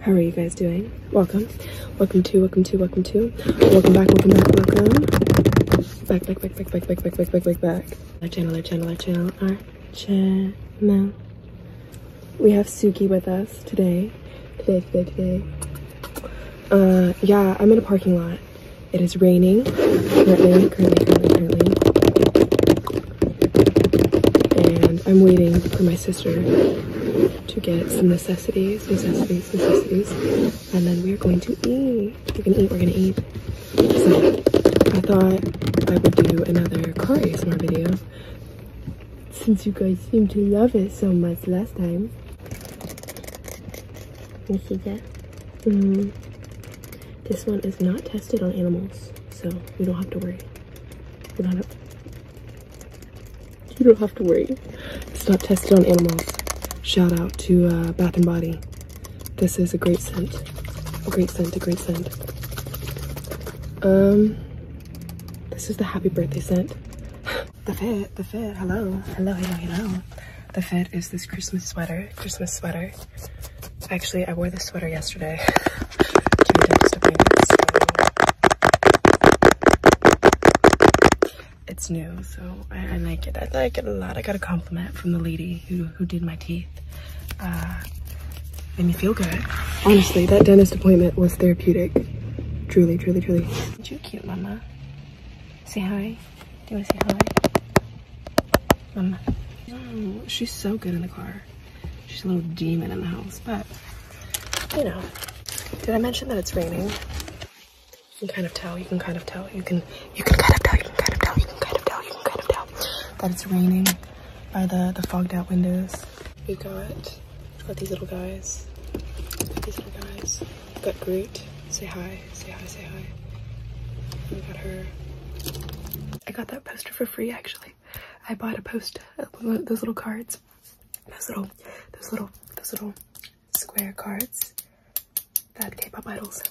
How are you guys doing? Welcome. Welcome to, welcome to, welcome to. Welcome back, welcome back, welcome. Back, back, back, back, back, back, back, back, back, back, back. Our channel, our channel, our channel, our channel. We have Suki with us today. Today, today, today. Uh, yeah, I'm in a parking lot. It is raining currently, currently, currently, currently and I'm waiting for my sister to get some necessities, necessities, necessities, and then we're going to eat. We're gonna eat, we're gonna eat. So I thought I would do another car ASMR video since you guys seem to love it so much last time. You see that? Mm-hmm. This one is not tested on animals, so we don't have to worry you don't have to worry. It's not tested on animals. Shout out to uh, Bath and Body. This is a great scent. A great scent, a great scent. Um, this is the happy birthday scent. the fit, the fit, hello. Hello, hello, hello. The fit is this Christmas sweater, Christmas sweater. Actually, I wore this sweater yesterday it's new, so I, like it. I like it a lot. I got a compliment from the lady who, who did my teeth. Uh, made me feel good. Honestly, that dentist appointment was therapeutic. Truly, truly, truly. you cute, mama? Say hi. Do you want to say hi? Mama. she's so good in the car. She's a little demon in the house, but you know. Did I mention that it's raining? You can kind of tell, you can kind of tell, you can you can kind of tell, you can kind of tell, you can kind of tell, you can kind of tell that it's raining by the, the fogged out windows. We got we got these little guys. got these little guys. got Groot. Say hi, say hi, say hi. We got her. I got that poster for free actually. I bought a post, those little cards, those little, those little, those little square cards that K-pop idols,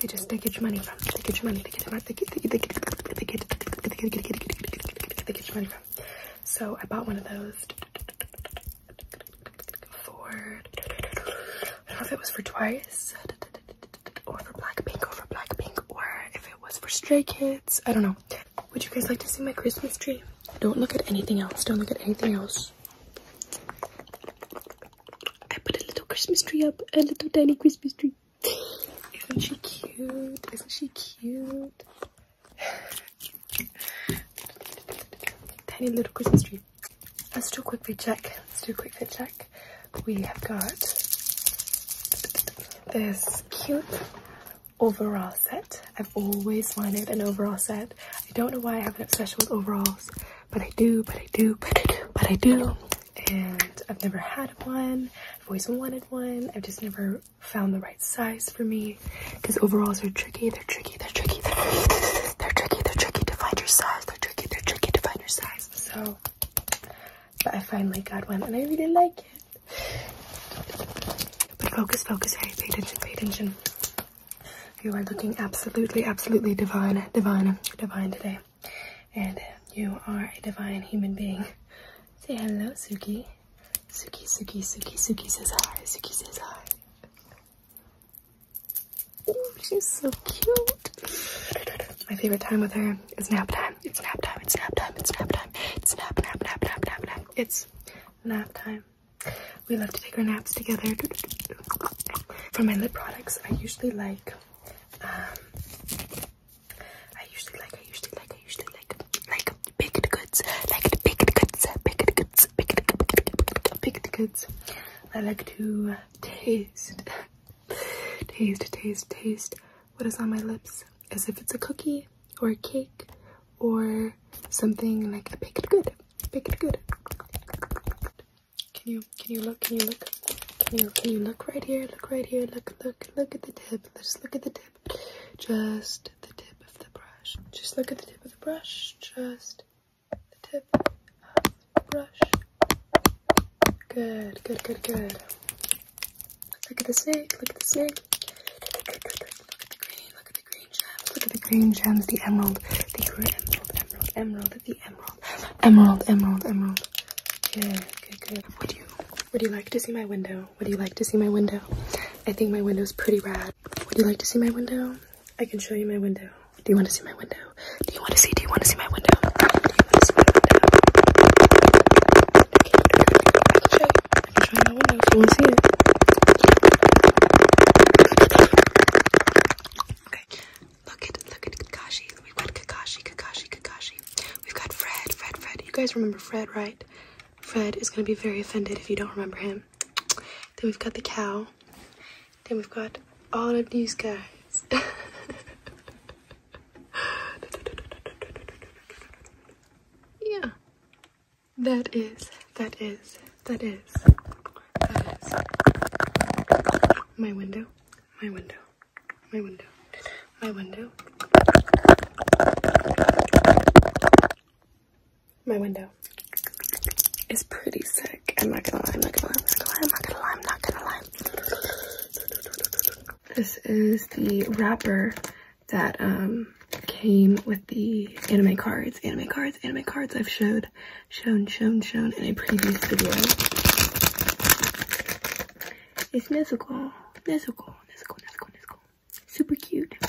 they just, they get your money from, they get your money, they get your money, they get, they get, they get, they get your money from. So I bought one of those for, I don't know if it was for twice, or for Blackpink or for Blackpink or if it was for Stray Kids. I don't know. Would you guys like to see my Christmas tree? Don't look at anything else. Don't look at anything else. I put a little Christmas tree up. A little tiny Christmas tree. Isn't she cute? Isn't she cute? Tiny little Christmas tree. Let's do a quick fit check. Let's do a quick fit check we have got this cute overall set. I've always wanted an overall set. I don't know why I have an obsession with overalls, but I do, but I do, but I do, but I do. And I've never had one. I've always wanted one. I've just never found the right size for me because overalls are tricky. They're tricky. They're tricky. They're, they're tricky. They're tricky to find your size. They're tricky. They're tricky to find your size. So but I finally got one and I really like it. But focus, focus, hey, pay attention, pay attention. You are looking absolutely, absolutely divine, divine, divine today. And you are a divine human being. Say hello, Suki. Suki, Suki, Suki, Suki says hi. Suki says hi. Oh, she's so cute. My favorite time with her is nap time time. It's nap time. It's nap time. It's nap time. It's nap, nap, nap, nap, nap, nap. It's nap time. We love to take our naps together. For my lip products, I usually like, um, I usually like, I usually like, I usually like, like baked goods, like baked goods, baked goods, baked goods, baked goods. I like to taste Taste, taste, taste. What is on my lips? As if it's a cookie or a cake or something like a pick it good. Pick it good. Can you can you look? Can you look? Can you can you look right here? Look right here. Look look look at the tip. Just look at the tip. Just the tip of the brush. Just look at the tip of the brush. Just the tip of brush. Good, good, good, good. Look at the snake, look at the snake. Look at the green, look at the green gems, look at the green gems, the emerald, the green emerald, emerald, emerald, the emerald, emerald, emerald, emerald. Good, good, good. Would you, would you like to see my window? Would you like to see my window? I think my window's pretty rad. Would you like to see my window? I can show you my window. Do you want to see my window? Do you want to see? Do you want to see my window? look at look at Kakashi. We've got Kakashi, Kakashi, Kakashi. We've got Fred, Fred, Fred. You guys remember Fred, right? Fred is gonna be very offended if you don't remember him. Then we've got the cow. Then we've got all of these guys. yeah. That is, that is, that is, that is my window, my window, my window, my window, my window. It's pretty sick. I'm not gonna lie, I'm not gonna lie, I'm not gonna lie, I'm not gonna lie. This is the wrapper that um, came with the anime cards, anime cards, anime cards I've showed, shown, shown, shown in a previous video. It's Nezuko, Nezuko, Nezuko, Nezuko, Nezuko. Super cute. I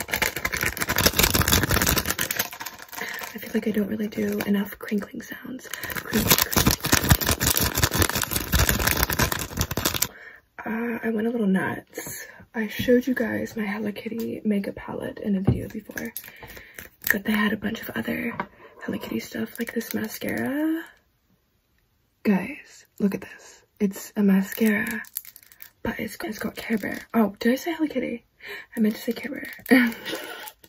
feel like I don't really do enough crinkling sounds. Uh, I went a little nuts. I showed you guys my Hello Kitty makeup palette in a video before, but they had a bunch of other Hello Kitty stuff like this mascara. Guys, look at this. It's a mascara, but it's, it's got Care Bear. Oh, did I say Hello Kitty? I meant to say Care Bear.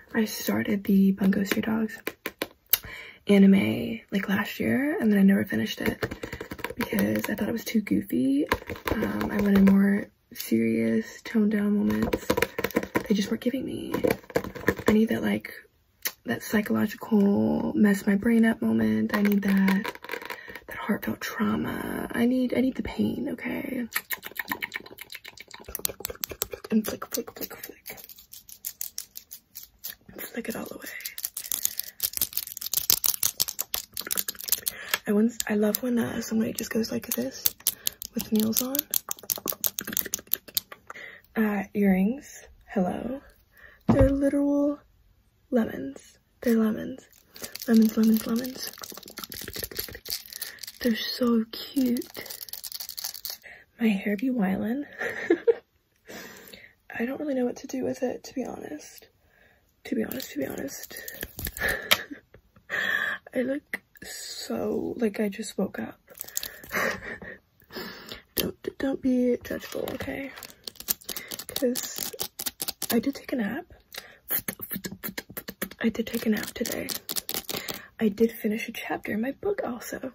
I started the Bungo Stray Dogs anime like last year and then I never finished it because I thought it was too goofy. Um, I wanted more serious, toned down moments. They just weren't giving me. I need that like, that psychological mess my brain up moment. I need that, that heartfelt trauma. I need, I need the pain, okay? And flick, flick, flick, flick. Flick it all away. I once I love when uh, somebody just goes like this with nails on. Uh, earrings. Hello. They're literal lemons. They're lemons. Lemons, lemons, lemons. They're so cute. My hair be wildin'. I don't really know what to do with it, to be honest. To be honest, to be honest. I look so like I just woke up. don't don't be judgmental, okay? Because I did take a nap. I did take a nap today. I did finish a chapter in my book also.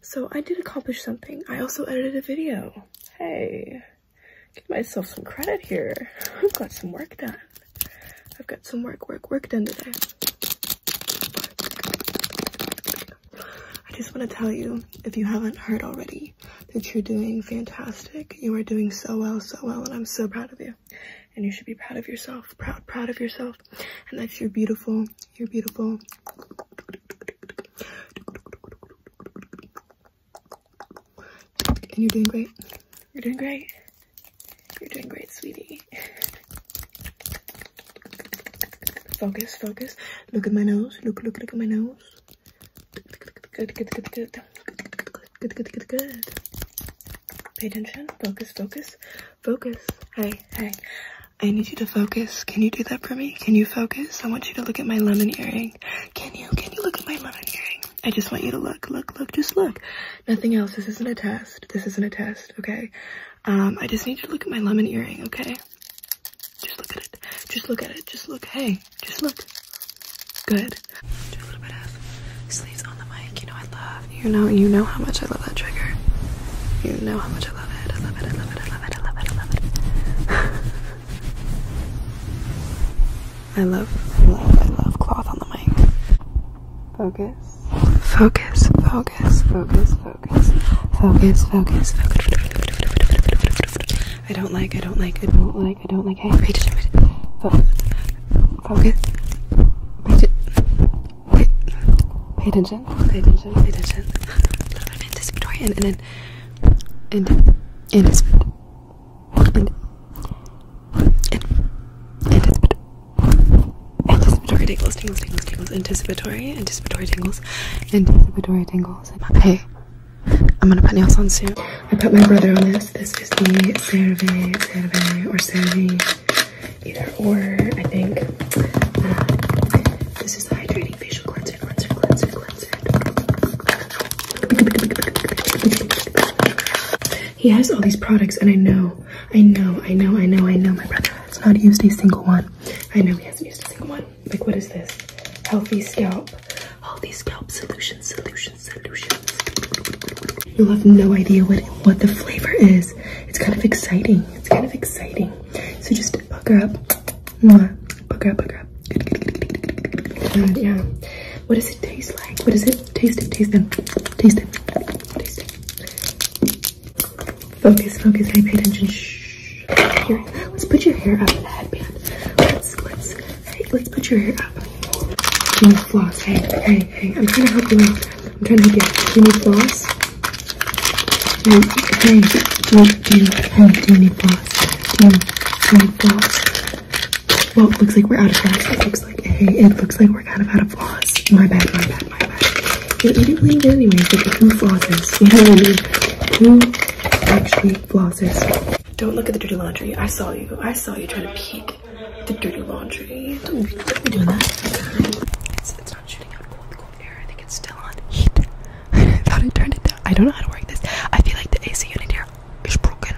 So I did accomplish something. I also edited a video. Hey, give myself some credit here. I've got some work done. I've got some work, work, work done today. I just want to tell you, if you haven't heard already, that you're doing fantastic. You are doing so well, so well, and I'm so proud of you and you should be proud of yourself proud proud of yourself and that you're beautiful you're beautiful and you're doing great you're doing great you're doing great sweetie focus focus look at my nose look look look at my nose good good good good good good good good good Pay attention. Focus, focus, focus. Hey, hey. I need you to focus. Can you do that for me? Can you focus? I want you to look at my lemon earring. Can you? Can you look at my lemon earring? I just want you to look, look, look, just look. Nothing else. This isn't a test. This isn't a test, okay? Um, I just need you to look at my lemon earring, okay? Just look at it. Just look at it. Just look. Hey, just look. Good good. Do a little bit of sleeves on the mic. You know I love. You know you know how much I love that trigger. You know how much I love it. I love it. I love it. I love it. I love it. I love it. I love. I love. I love cloth on the mic. Focus. Focus. Focus. Focus. Focus. Focus. Focus. Focus. I don't like. I don't like. I don't like. I don't like. Hey, pay attention. Focus. Focus. Pay, pay, pay attention. Pay attention. Pay attention. A little bit of anticipatory and and and and anticipatory. And, and, anticipatory. Anticipatory tingles, tingles, tingles, tingles. Anticipatory, anticipatory tingles, anticipatory tingles. Hey, I'm gonna put nails on soon. I put my brother on this. This is the Cerave, Cerave, or Cerave, either or, I think. this is the Hydrating Facial Cleanser, Cleanser, Cleanser, Cleanser. He has all these products, and I know, I know, I know, I know, I know my brother has not used a single one. I know he hasn't used a single one. Like, what is this? Healthy Scalp. Healthy Scalp Solution, Solution. You'll have no idea what, what the flavor is. It's kind of exciting. It's kind of exciting. So just buck her up. Mwah. Buck her up, buck up. And yeah. What does it taste like? What is it? Taste it, taste it, taste it, taste it. Focus, focus, pay attention. Shh. let's put your hair up in the headband. Let's, let's, Hey, let's put your hair up. You need floss. Hey, hey, hey. I'm trying to help you out. I'm trying to help you out. Do you need floss? Hey, hey. Do you, do you, hey, do you need floss? Do you, do you need floss? Well, it looks like we're out of floss. It looks like, hey, it looks like we're out of, out of floss. My bad, my bad, my bad. You, you didn't leave it anyways. Like, who flosses? You know what I mean? Who actually flosses? Don't look at the dirty laundry. I saw you. I saw you trying to peek like the dirty laundry. Don't be, don't be doing that. It's, it's not shooting out cold, cold air. I think it's still on heat. I thought I turned it down. I don't know how to work this. I feel like the AC unit here is broken.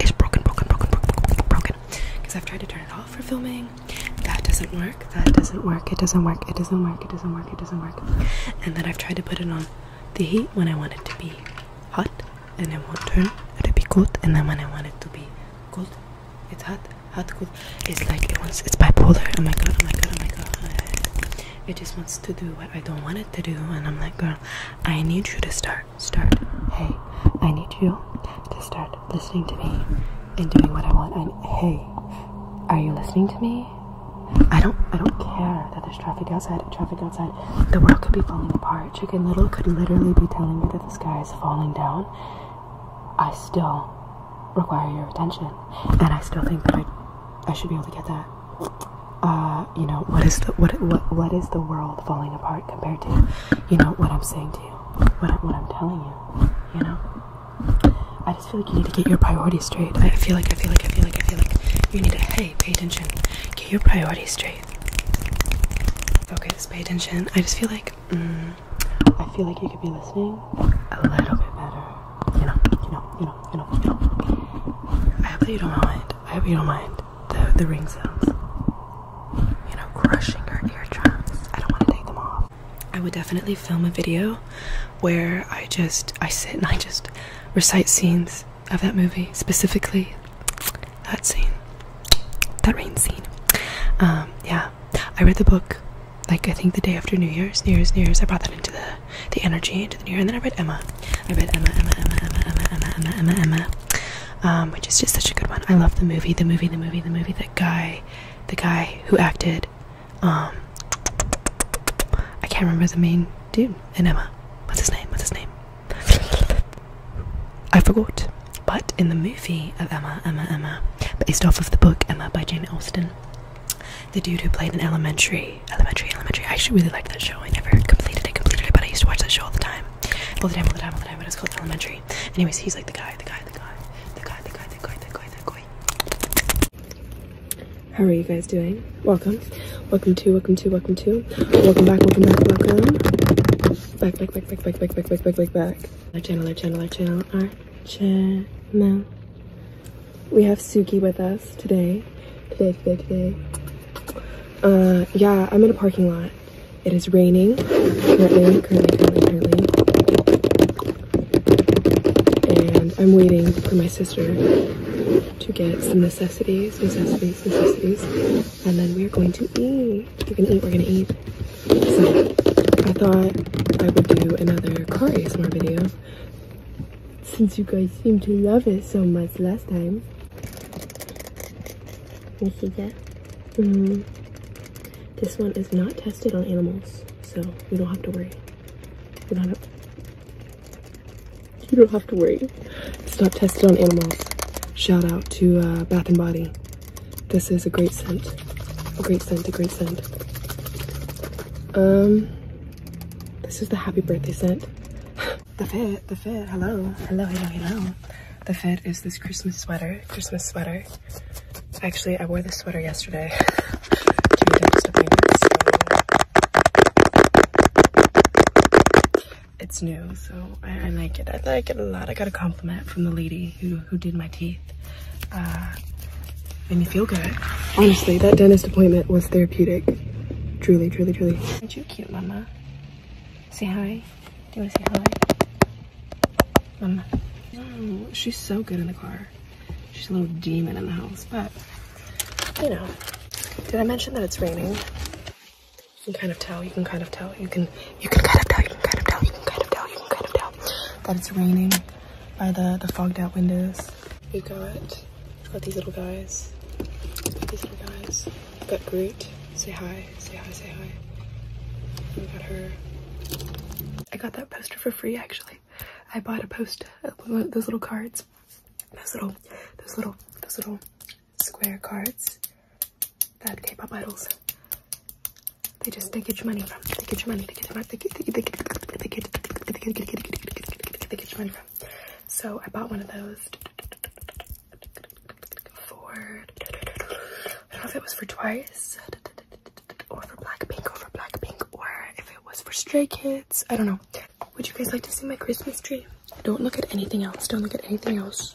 It's broken, broken, broken, broken, broken. Because I've tried to turn it off for filming. That doesn't work. That doesn't work. It doesn't work. It doesn't work. It doesn't work. It doesn't work. And then I've tried to put it on the heat when I want it to be hot and I want turn it'll be good and then when I want it to be good, it's hot hot cold it's like it wants it's bipolar oh my god oh my god oh my god it just wants to do what I don't want it to do and I'm like girl I need you to start start hey I need you to start listening to me and doing what I want and hey are you listening to me I don't I don't care that there's traffic outside traffic outside the world could be falling apart. Chicken Little could literally be telling me that the sky is falling down. I still require your attention, and I still think that I, I should be able to get that. Uh, you know, what is the what what what is the world falling apart compared to, you know, what I'm saying to you, what I, what I'm telling you, you know. I just feel like you need to get your priorities straight. I feel like I feel like I feel like I feel like you need to hey pay attention, get your priorities straight. Okay, just pay attention. I just feel like mm, I feel like you could be listening a little bit better. You know, you know, you know, you know, you know. I hope that you don't mind. I hope you don't mind the the ring sounds. You know, crushing our eardrums. I don't want to take them off. I would definitely film a video where I just I sit and I just recite scenes of that movie, specifically that scene, that rain scene. Um, yeah, I read the book like I think the day after New Year's, New Year's, New Year's. I brought that into the the energy into the New Year, and then I read Emma. I read Emma, Emma, Emma, Emma, Emma, Emma, Emma, Emma, Emma, um, which is just such a good one. I love the movie, the movie, the movie, the movie. That guy, the guy who acted, um, I can't remember the main dude in Emma. What's his name? What's his name? I forgot. But in the movie of Emma, Emma, Emma, based off of the book Emma by Jane Austen, the dude who played in Elementary, Elementary, Elementary, I actually really liked that show. I never completed it, completed it, but I used to watch that show all the time. All the time, all the time, all the time, but it's called Elementary. Anyways, he's like the guy, the guy, the guy, the guy, the guy, the guy, the guy, the guy. How are you guys doing? Welcome. Welcome to, welcome to, welcome to. Welcome back, welcome back, welcome. Back, back, back, back, back, back, back, back, back, back, back. Our channel, our channel, our channel, our channel. We have Suki with us today. Today, today, today. Uh, yeah, I'm in a parking lot. It is raining currently, currently, currently, currently. And I'm waiting for my sister to get some necessities, necessities, necessities and then we're going to eat. We're gonna eat, we're gonna eat. So I thought I would do another car ASMR video since you guys seem to love it so much last time. You see mm-hmm. This one is not tested on animals, so we don't have to worry. We don't have you don't have to worry. Stop tested on animals. Shout out to uh, Bath and Body. This is a great scent. A great scent, a great scent. Um, this is the happy birthday scent. the fit, the fit, hello, hello, hello, hello. The fit is this Christmas sweater, Christmas sweater. Actually, I wore this sweater yesterday. it's new, so I, like it. I like it a lot. I got a compliment from the lady who, who did my teeth. Uh, made me feel good. Honestly, that dentist appointment was therapeutic. Truly, truly, truly. Aren't you cute, mama? Say hi. Do you want to say hi? Mama. she's so good in the car. She's a little demon in the house, but, you know. Did I mention that it's raining? You can kind of tell, you can kind of tell, you can you can kind of tell, you can kind of tell, you can kind of tell, you can kind of tell that it's raining by the, the fogged out windows. We got, we got these little guys. These little guys. We got Groot. Say hi, say hi, say hi. And we got her. I got that poster for free actually. I bought a poster, those little cards. Those little, those little, those little square cards that K-pop idols they just they get your money from. They get your money. They get your money. They get they get they get they get they get they get they get your money from. So I bought one of those for I don't know if it was for Twice or for Blackpink or for Blackpink or if it was for Stray Kids. I don't know. Would you guys like to see my Christmas tree? Don't look at anything else. Don't look at anything else.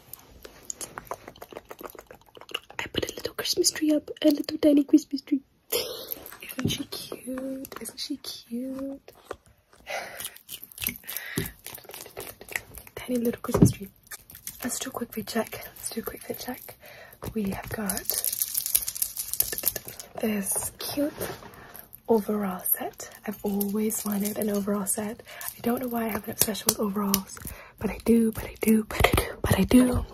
I put a little Christmas tree up. A little tiny Christmas tree. Isn't she cute? Isn't she cute? Tiny little Christmas tree. Let's do a quick fit check. Let's do a quick fit check. We have got this cute overall set. I've always wanted an overall set. I don't know why I have an obsession with overalls, but I do, but I do, but I do, but I do.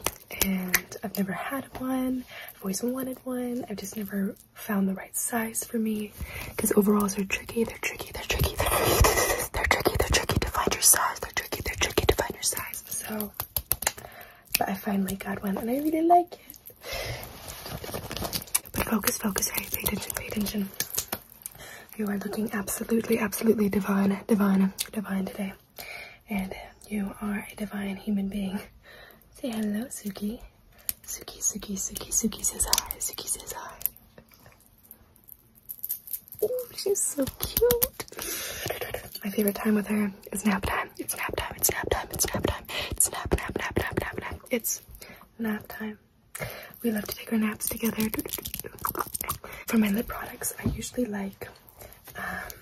And I've never had one. I've always wanted one. I've just never found the right size for me because overalls are tricky. They're tricky. They're tricky. They're tricky. They're tricky. They're tricky to find your size. They're tricky. They're tricky to find your size. So, but I finally got one and I really like it. But focus, focus, hey, pay attention, pay attention. You are looking absolutely, absolutely divine, divine, divine today. And you are a divine human being. Say hello, Suki. Suki, Suki, Suki, Suki says hi. Suki says hi. Oh, she's so cute. My favorite time with her is nap time. It's nap time. It's nap time. It's nap time. It's nap, nap, nap, nap, nap, nap. It's Nap time. We love to take our naps together. For my lip products, I usually like um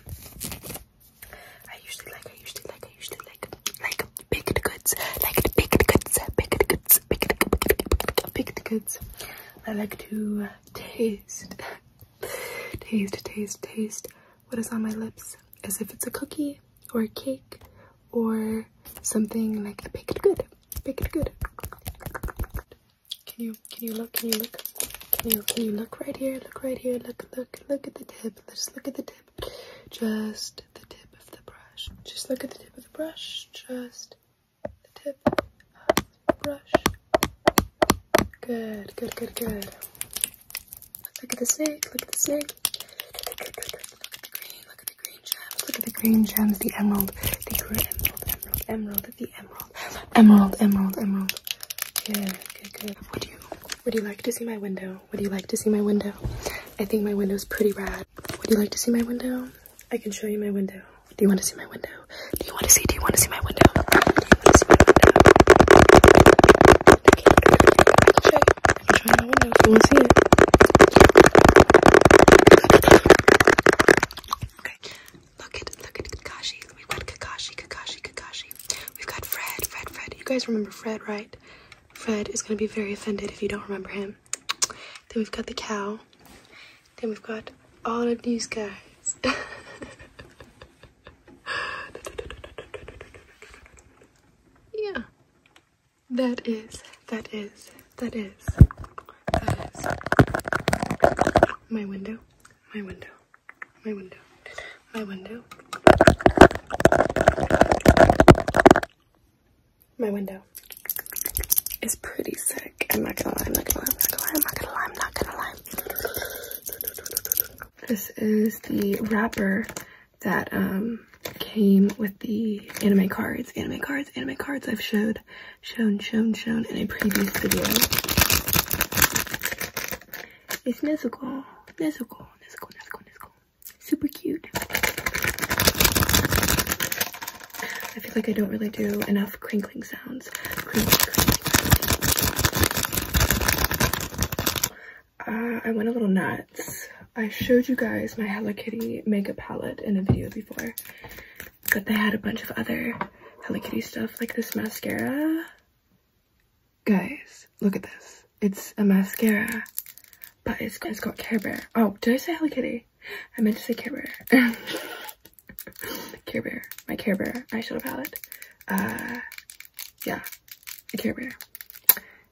I usually like I usually like I usually like like the goods. Like pick the goods, pick the goods, pick the goods, pick the goods. I like to taste taste taste taste what is on my lips as if it's a cookie or a cake or something like a baked good. Baked good. Can you can you look? Can you look? Can you can you look right here? Look right here. Look look look at the tip. Just look at the tip. Just the tip of the brush. Just look at the tip of the brush. Just the tip of the brush. Good, good, good, good. Look at the zig, look at the zig. Look at the green, look at the green gems, look at the green gems, the emerald, the green emerald, emerald, emerald, the emerald, emerald, emerald, emerald. Good, good, good. Would you, would you like to see my window? Would you like to see my window? I think my window's pretty rad. Would you like to see my window? I can show you my window. Do you want to see my window? Do you want to see? Do you want to see my window? Do you want to see my window? Okay, I can show you. I can show in the window so we'll see it. Okay, look at look at Kakashi. We've got Kakashi, Kakashi, Kakashi. We've got Fred, Fred, Fred. You guys remember Fred, right? Fred is gonna be very offended if you don't remember him. Then we've got the cow. Then we've got all of these guys. yeah. That is, that is, that is, that is my window, my window, my window, my window, my window is pretty sick. I'm not gonna lie, I'm not gonna lie, I'm not gonna lie, I'm not gonna lie, I'm not gonna lie. This is the wrapper that um, came with the anime cards, anime cards, anime cards I've showed, shown, shown, shown in a previous video. It's Nezuko, Nezuko, Nezuko, Nezuko, Nezuko. Super cute. I feel like I don't really do enough crinkling sounds. Uh, I went a little nuts. I showed you guys my Hello Kitty makeup palette in a video before, but they had a bunch of other Hello Kitty stuff like this mascara. Guys, look at this. It's a mascara, but it's, it's got Care Bear. Oh, did I say Hello Kitty? I meant to say Care Bear. Care Bear, my Care Bear eyeshadow palette. Uh, yeah, Care Bear.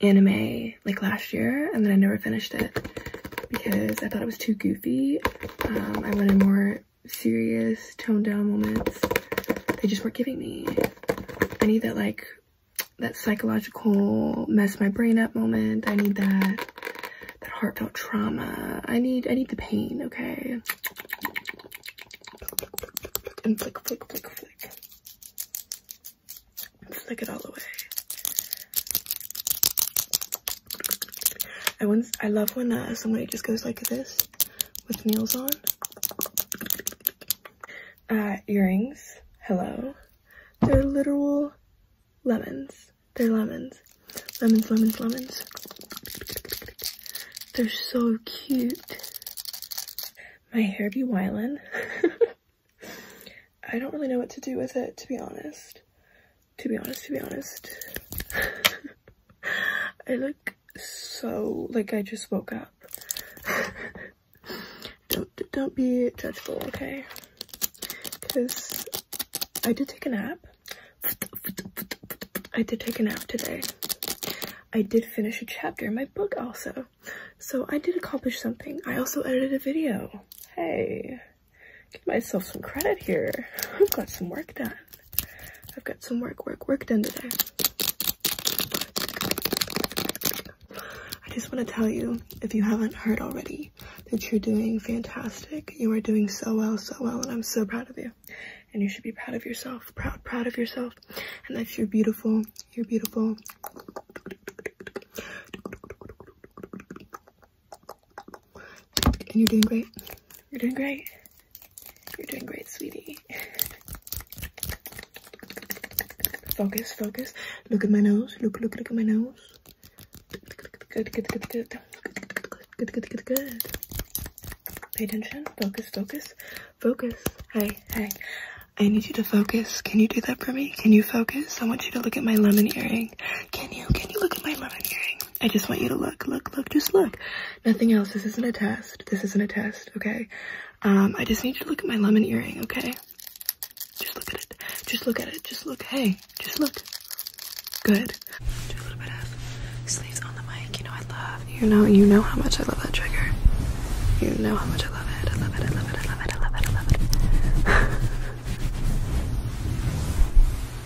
anime like last year and then I never finished it because I thought it was too goofy. Um, I wanted more serious, toned down moments. They just weren't giving me. I need that like, that psychological mess my brain up moment. I need that, that heartfelt trauma. I need, I need the pain, okay? And flick, flick, flick, flick flick it all away. I once I love when uh, somebody just goes like this with nails on. Uh, earrings. Hello. They're literal lemons. They're lemons. Lemons, lemons, lemons. They're so cute. My hair be whiling. I don't really know what to do with it, to be honest. To be honest, to be honest. I look so like I just woke up. don't don't be judgmental, okay? Because I did take a nap. I did take a nap today. I did finish a chapter in my book also. So I did accomplish something. I also edited a video. Hey, give myself some credit here. I've got some work done. I've got some work, work, work done today. I just want to tell you, if you haven't heard already, that you're doing fantastic. You are doing so well, so well, and I'm so proud of you. And you should be proud of yourself, proud, proud of yourself, and that you're beautiful. You're beautiful. And you're doing great. You're doing great. You're doing great, sweetie. Focus, focus. Look at my nose. Look, look, look at my nose. Good, good, good, good. Good, good, good, good. Pay attention. Focus, focus, focus. Hey, hey, I need you to focus. Can you do that for me? Can you focus? I want you to look at my lemon earring. Can you? Can you look at my lemon earring? I just want you to look, look, look, just look. Nothing else. This isn't a test. This isn't a test, okay? Um, I just need you to look at my lemon earring, okay? Just look at it. Just look at it. Just look. Hey, just look. Good. Do a little bit of sleeves on the mic. You know I love. You know, you know how much I love that trigger. You know how much much. I love it. I love it. I love it. I love it. I love it. I love it.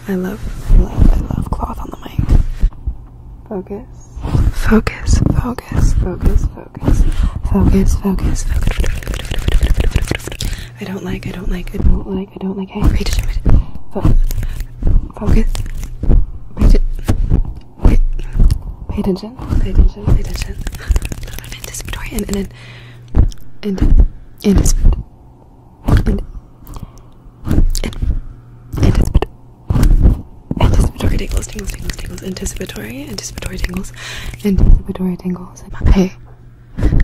I love, I love, I love cloth on the mic. Focus. Focus. Focus. Focus. Focus. Focus. Focus. Focus. I don't like. I don't like. I don't like. I don't like. Hey, read it. Read it. Focus. Focus. Read it. Wait, pay attention, pay attention, pay attention. A little bit of anticipatory and and and and anticipatory. And, and, anticipatory. Anticipatory tingles, tingles, tingles, tingles. Anticipatory, anticipatory tingles, anticipatory tingles. Hey,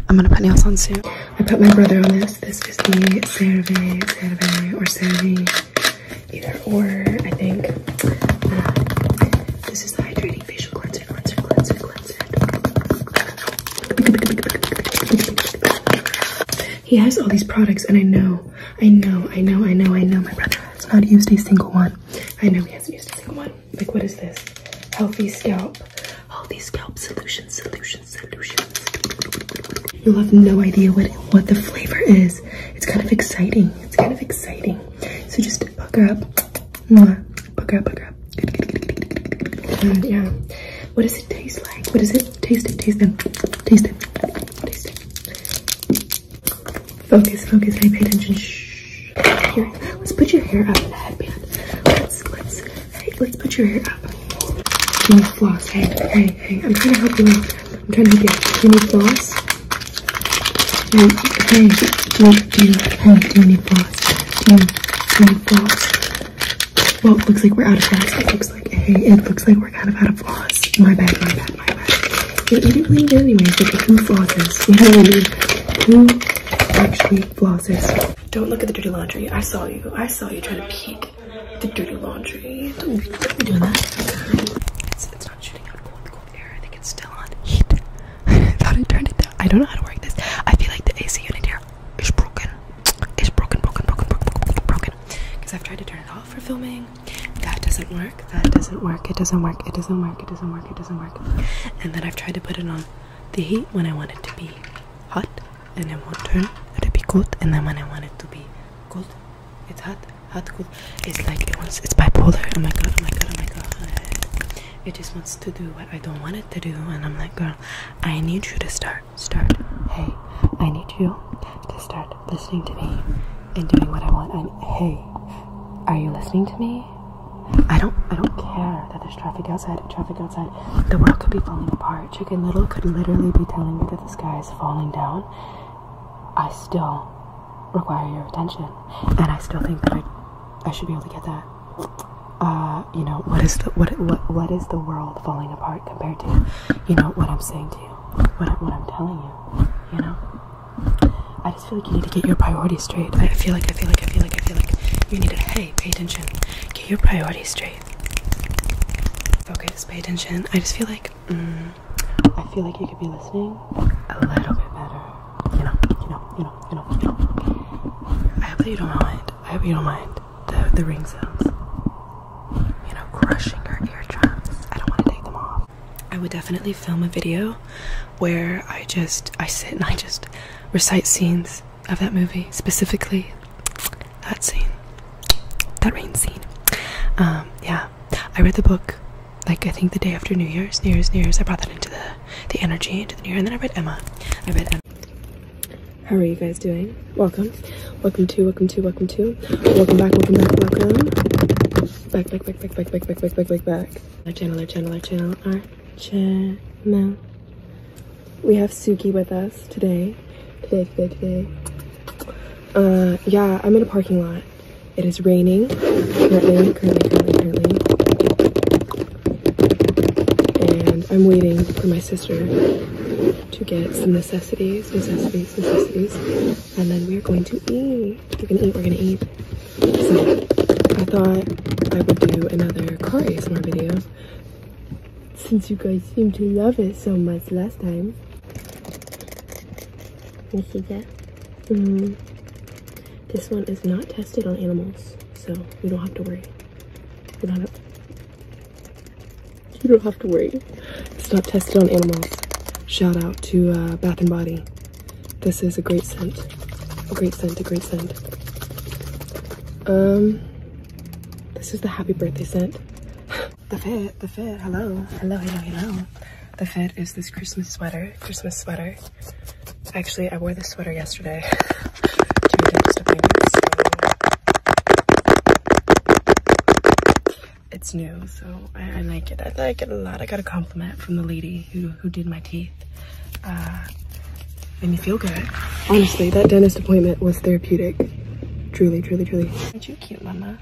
I'm gonna put nails on soon. I put my brother on this. This is the survey, survey, or survey either or, I think. Uh, this is the hydrating facial cleanser, cleanser, cleanser, cleanser. He has all these products, and I know, I know, I know, I know, I know my brother has not used a single one. I know he hasn't used a single one. Like, what is this? Healthy scalp. Healthy scalp solutions, solutions, solutions. You'll have no idea what what the flavor is. It's kind of exciting. It's kind of exciting. So just pucker up. Pucker up, pucker up. yeah. What does it taste like? What does it? Taste it, taste them. Taste them. Taste it. Focus, focus. pay attention. Shh. Here, let's put your hair up in the headband. Let's, let's, hey, let's put your hair up. You floss. Hey, hey, hey. I'm trying to help you I'm trying to guess. Do floss? Hey, hey, do, do, hey, do you floss? Do, do floss? Well, looks like we're out of floss. It looks like, hey, it looks like we're kind of out of floss. My bad, my bad, my bad. We, didn't really know anyway, but who flosses? You know what actually flosses? Don't look at the dirty laundry. I saw you. I saw you trying to peek the dirty laundry. Don't, don't be doing that. I think it's still on heat. thought I turned it down. I don't know how to work this. I feel like the AC unit here is broken. It's broken, broken, broken, broken, broken. Because I've tried to turn it off for filming. That doesn't work. That doesn't work. It doesn't work. It doesn't work. It doesn't work. It doesn't work. And then I've tried to put it on the heat when I want it to be hot, and it won't turn. it to be cold, and then when I want it to be cold, it's hot, hot, cool. It's like it wants. It's bipolar. Oh my god! Oh my god! Oh my god! It just wants to do what I don't want it to do, and I'm like, girl, I need you to start, start. Hey, I need you to start listening to me and doing what I want. And hey, are you listening to me? I don't I don't care that there's traffic outside traffic outside. The world could be falling apart. Chicken Little could literally be telling me that the sky is falling down I still require your attention, and I still think that I, I should be able to get that. Uh, you know, what is the what what what is the world falling apart compared to, you know, what I'm saying to you, what what I'm telling you, you know. I just feel like you need to get your priorities straight. I feel like I feel like I feel like I feel like you need to hey, pay attention, get your priorities straight, focus, pay attention. I just feel like. Mm, I feel like you could be listening a little bit better. You know, you know, you know, you know, you know. I hope that you don't mind. I hope you don't mind the the ring sounds. You know, crushing your drums. I don't want to take them off. I would definitely film a video where I just I sit and I just recite scenes of that movie specifically that scene that rain scene um yeah i read the book like I think the day after New Year's, New Year's, New Year's, I brought that into the the energy into the New Year, and then I read Emma. I read Emma. How are you guys doing? Welcome, welcome to, welcome to, welcome to, welcome back, welcome back, welcome back, back, back, back, back, back, back, back, back, back, back. Our channel, our channel, our channel, our channel. We have Suki with us today, today, today, today. Uh, yeah, I'm in a parking lot it is raining currently, currently, currently, And I'm waiting for my sister to get some necessities, necessities, necessities. And then we're going to eat. We're gonna eat, we're gonna eat. So I thought I would do another car ASMR videos since you guys seem to love it so much last time. Mejilla. Mm. Mm-hmm. This one is not tested on animals, so you don't have to worry. you don't have to worry. It's not tested on animals. Shout out to uh, Bath and Body. This is a great scent. A great scent, a great scent. Um, this is the happy birthday scent. The fit, the fit, hello, hello, hello, hello. The fit is this Christmas sweater, Christmas sweater. Actually, I wore this sweater yesterday It's new, so I, like it. I like it a lot. I got a compliment from the lady who, who did my teeth. Uh, made me feel good. Honestly, that dentist appointment was therapeutic. Truly, truly, truly. Aren't you cute, mama?